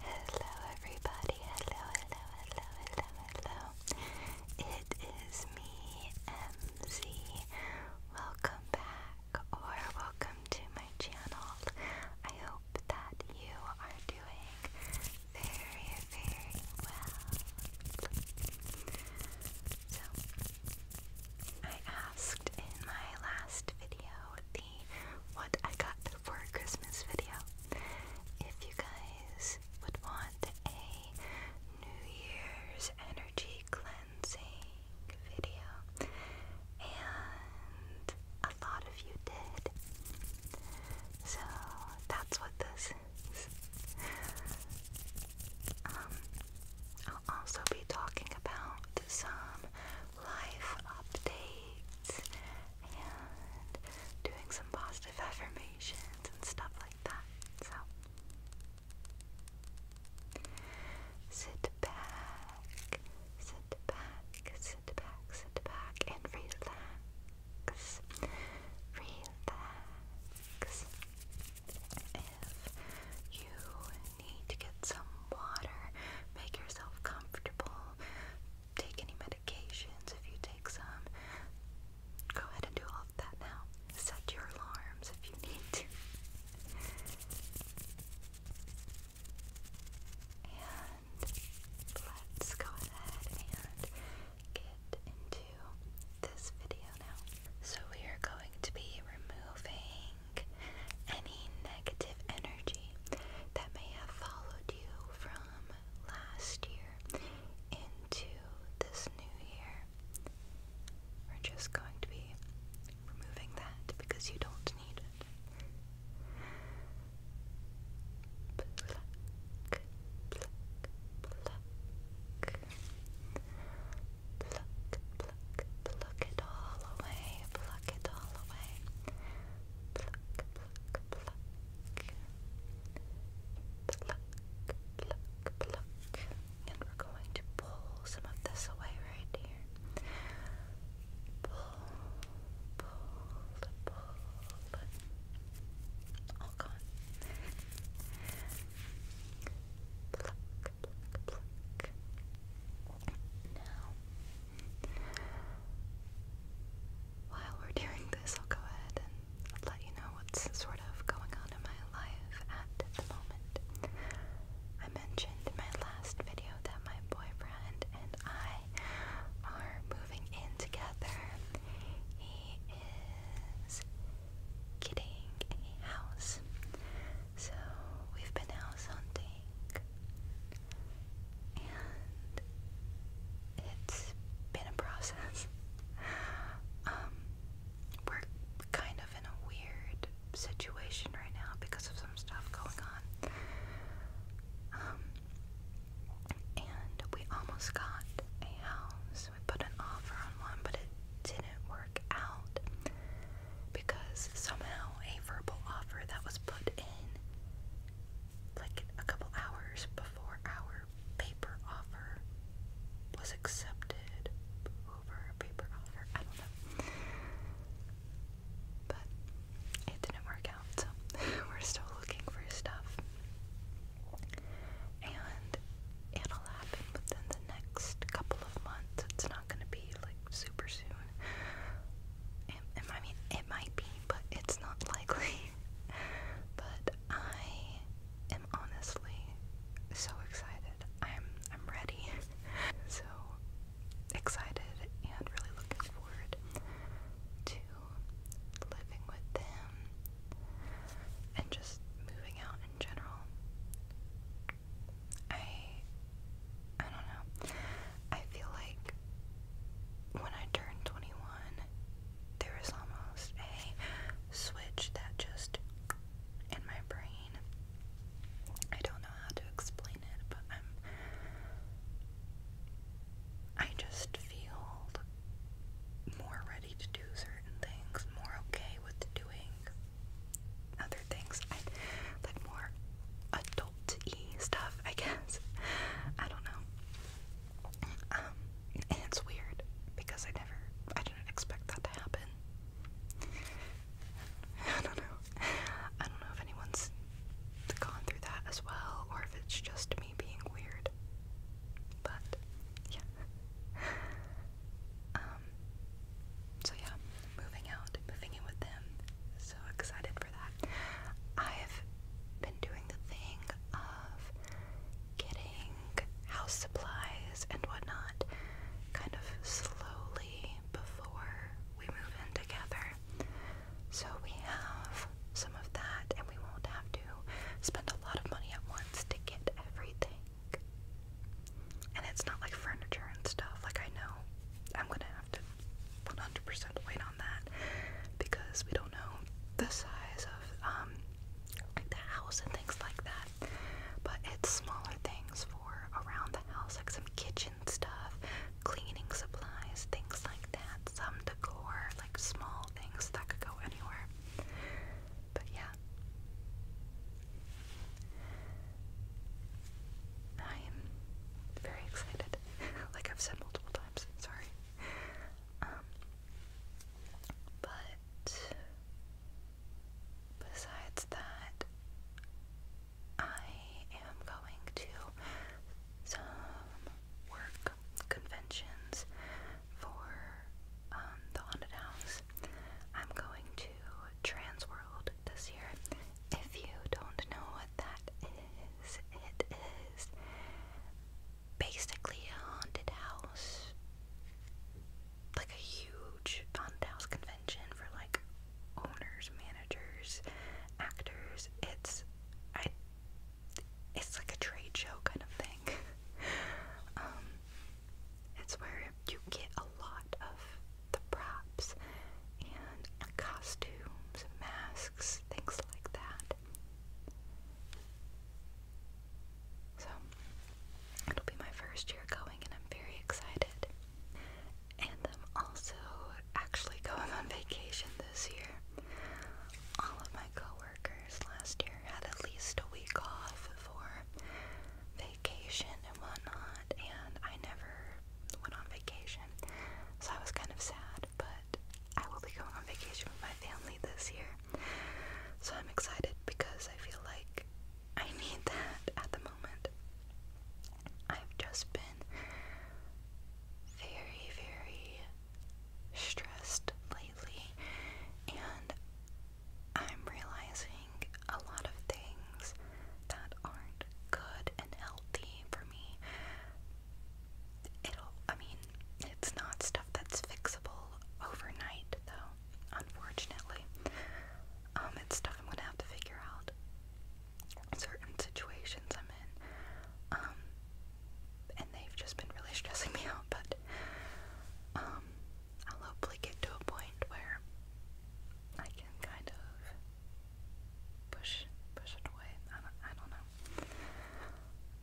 Hello everybody, hello, hello, hello, hello, hello. It is me, MZ. Welcome back or welcome to my channel. I hope that you are doing very, very well. So I asked in my last video what I got for Christmas video. If you guys would want a New Year's energy cleansing video, and a lot of you did, so that's what this is. Um, I'll also be talking about some life updates and doing some positive affirmations and stuff like that. So sit back, sit back, sit back, sit back, and relax. Relax. If you need to get some water, make yourself comfortable, take any medications if you take some. Go ahead and do all of that now. Set your alarms if you need to. And let's go ahead and get into this video now. So, we are going to be removing any negative energy that may have followed you from last year into this new year. We're just going to be removing that because you don't need it pluck, it all away, pluck it all away. Pluck, pluck, pluck. Pluck, pluck, pluck. And we're going to pull some of this away right here. Pull, pull, pull. All gone. Pluck, pluck, pluck while we're doing this, I'll go ahead and let you know what's sort of going on in my life at the moment. I mentioned in my last video that my boyfriend and I are moving in together. He is getting a house. So we've been house hunting and it's been a process. Um, we're kind of in a weird situation right now because of some stuff going on. Um, and we almost got a house. We put an offer on one, but it didn't out because somehow a verbal offer that was put in like a couple hours before our paper offer was accepted over a paper offer. I don't know. But it didn't work out, we're still looking for stuff. And it'll happen within the next couple of months. It's not gonna be like super soon. It, I mean, it might be, but it's not likely. but I am honestly so excited. I'm I'm ready. so excited and really looking forward to living with them and just moving out in general. I I don't know. I feel like when I turn 21, there is almost a switch that just in my brain. I don't know how to explain it, but I'm I just feel more ready to do certain things, more okay with doing other things. I like more adult stuff, I guess. I don't know. Um, it's weird because I never, I didn't expect that to happen. I don't know. I don't know if anyone's gone through that as well or if it's just me being weird. But yeah. Um, um, so yeah, moving out, moving in with them. So excited for that. I've been doing the thing of getting house supplies and whatnot kind of slowly before we move in together. So we have some of that, and we won't have to spend a lot of money at once to get everything. And it's not like furniture and stuff. Like, I know I'm gonna have to 100% wait on that because we don't know the size of um, like the house and things like that. But it's smaller things for around the house, like some kitchen stuff, cleaning supplies, things like that, some decor, like small things that could go anywhere. But yeah. I am very excited. like I've said multiple times, sorry. Um, but besides that I am going to some work conventions for um, the haunted house I'm going to Transworld this year. If you don't know what that is, it is basically a haunted house, like a huge haunted house convention for like owners, managers, actors. It's I. It's like a trade show kind of thing. Um, it's where you get a lot of the props and costumes, masks, things like that. So, it'll be my first year going, and I'm very excited. And I'm also actually going on vacation this year. All of my coworkers last year had at least a week off for vacation and whatnot, and I never went on vacation, so I was kind of sad. But I will be going on vacation with my family this year, so I'm excited because I feel like I need that at the moment. I've just been very, very stressed lately, and I'm realizing a lot of things that aren't good and healthy for me. It'll, I mean, it's not stuff that's fixable overnight, though, unfortunately. Um, it's stuff I'm gonna have to figure out. Certain situations I'm in. Um, and they've just been really stressing me out, but, um, I'll hopefully get to a point where I can kind of push push it away. I don't, I don't know.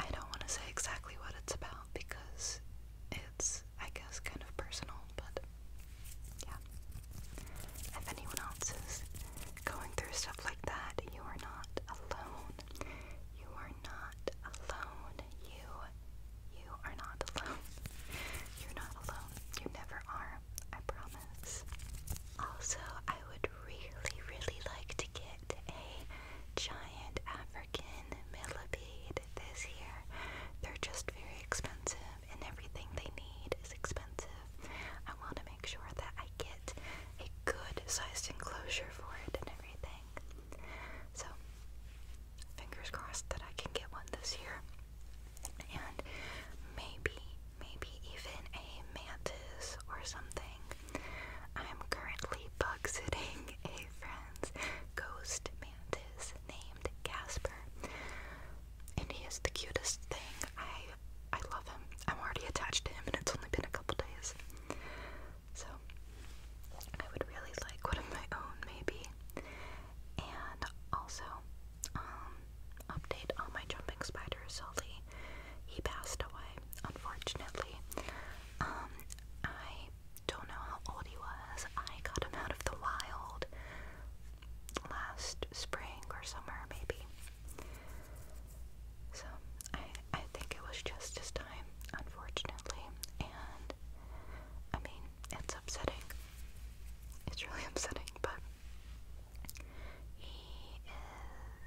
I don't want to say exactly what it's about because it's, I guess, kind of personal, but yeah. If anyone else is going through stuff like that, you are not alone. You are not alone. You, you are not alone. You're not alone. You never are. I promise. Also, I would really, really like to get a giant African millipede this year. They're just very expensive, and everything they need is expensive. I want to make sure that I get a good sized enclosure for it and everything. So, fingers crossed that I can get one this year. And maybe, maybe even a mantis or something. I'm currently bug sitting a friend's ghost mantis named Casper. And he is the cutest thing. I I love him. I'm already attached to him and it's only been a couple days. So I would really like one of my own, maybe. And also, um, update on my jumping spider, Sully. He passed away, unfortunately. Um, I don't know how old he was. I got him out of the wild last spring or summer, maybe. So I I think it was just just unfortunately, and I mean, it's upsetting. It's really upsetting, but he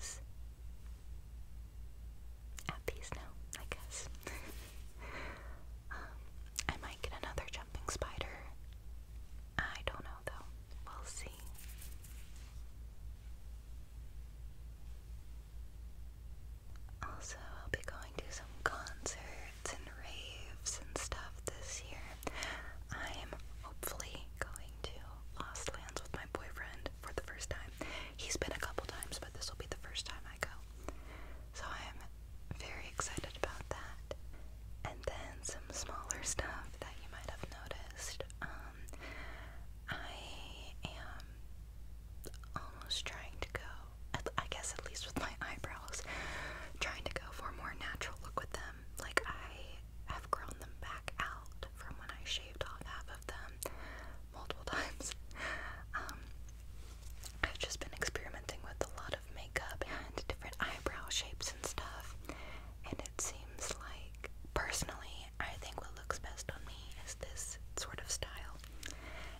is at peace now, I guess. Um, I might get another jumping spider. I don't know though. We'll see. Also, I'll be going to some concerts and raves and stuff this year. I'm hopefully going to Lost Lands with my boyfriend for the first time. He's been a couple times, but this will be the first time I go. So I'm very excited about that. And then some smaller stuff that you might have noticed. Um, I am almost trying to go, I guess at least with my eyebrows, trying to go for a more natural look with them. Like, I have grown them back out from when I shaved off half of them multiple times. Um, I've just been experimenting with a lot of makeup and different eyebrow shapes and stuff, and it seems like, personally, I think what looks best on me is this sort of style.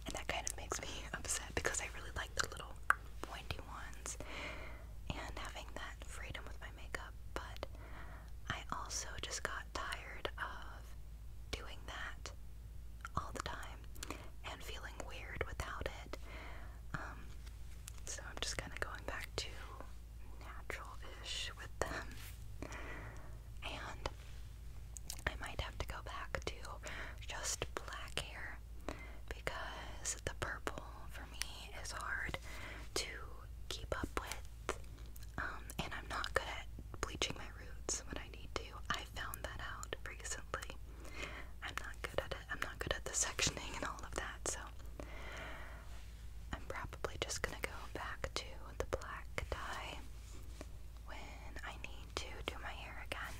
And that kind of makes me upset because I really like the little pointy ones and having that freedom with my makeup. But I also just got tired of doing that all the time and feeling weird without it. Um, so I'm just kind of going back to natural ish with them. And I might have to go back to just black hair because the purple for me is hard to keep up with. Um, and I'm not good at bleaching my roots when I need to. I found that out recently. I'm not good at it. I'm not good at the sectioning and all of that, so I'm probably just gonna go back to the black dye when I need to do my hair again.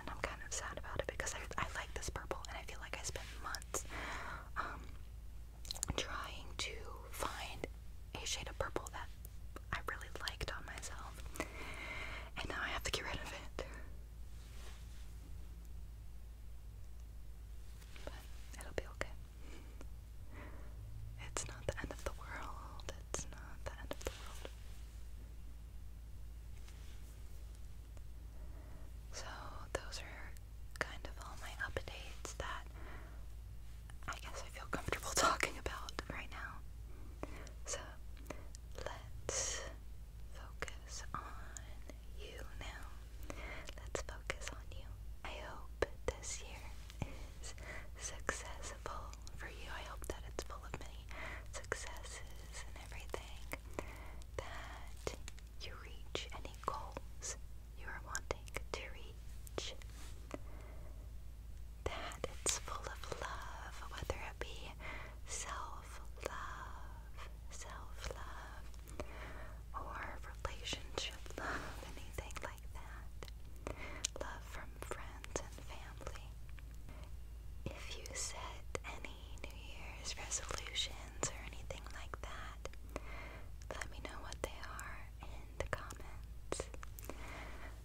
And I'm kind of sad about it because I, like this purple and I feel like I spent months um, trying to find a shade of purple that I really liked on myself. And now I have to get rid of it. But it'll be okay. It's not the end of the world. It's not the end of the world. So, those are kind of all my updates that I guess I feel comfortable talking about right now. So, let's focus on you now. Let's focus on you. I hope this year is successful for you. I hope that it's full of many successes and everything. That you reach any goals you are wanting to reach. That it's full of love, whether it be self love, self love, or relationship love, anything like that. Love from friends and family. If you set any New Year's resolutions or anything like that, let me know what they are in the comments.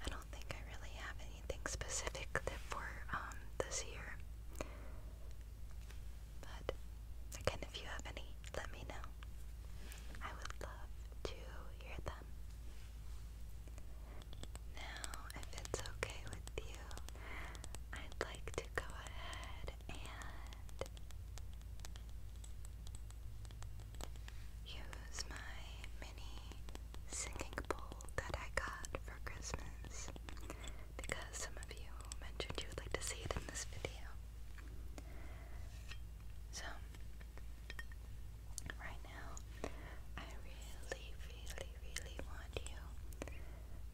I don't think I really have anything specific for um this year. But again, if you have any, let me know. I would love to hear them. Now, if it's okay with you, I'd like to go ahead and use my mini singing bowl that I got for Christmas because some of you mentioned you would like to see it in this video. So, right now, I really, really, really want you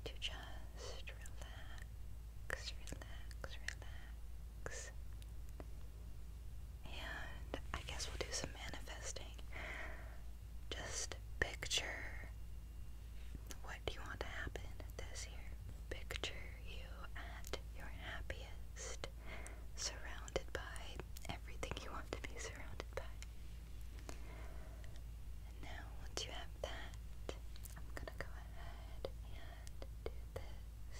to just relax, relax, relax. And I guess we'll do some manifesting. Just picture do you want to happen this year? Picture you at your happiest, surrounded by everything you want to be surrounded by. And now, once you have that, I'm gonna go ahead and do this.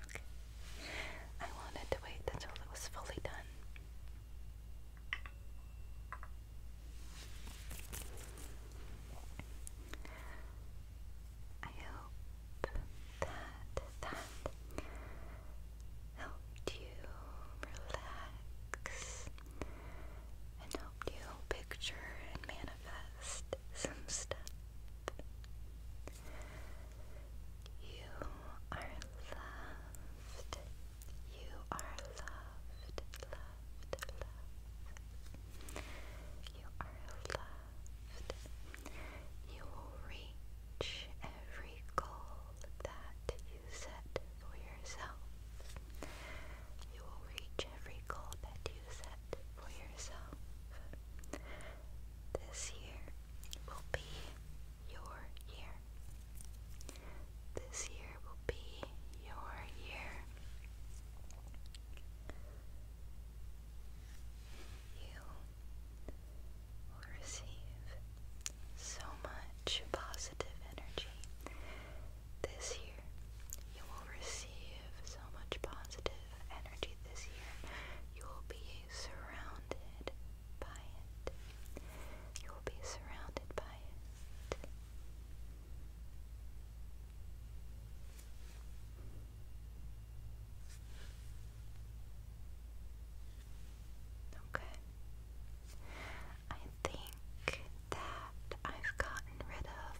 Okay. I wanted to wait until it was fully done. I hope that that helped you relax and helped you picture and manifest some stuff. You are loved. You are loved, loved, loved. You are loved. You will reach every goal that you set for yourself. You will reach every goal that you set for yourself. This year will be your year. This year will be your year. You will receive so much positive energy. This year, you will receive so much positive energy this year, you will be surrounded by it. You will be surrounded by it. Okay. I think that I've gotten rid of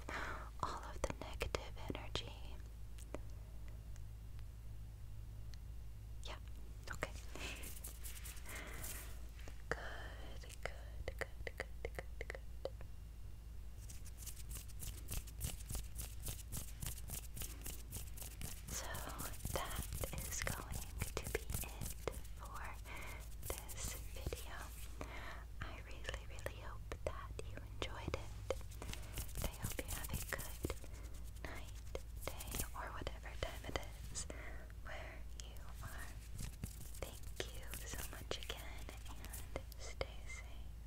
all of the negative energy yeah, okay. Good, good, good, good, good, good. So that is going to be it for this video. I really, really hope that you enjoyed it. I hope you have a good night, day, or whatever time it is where you are. Thank you so much again, and stay safe.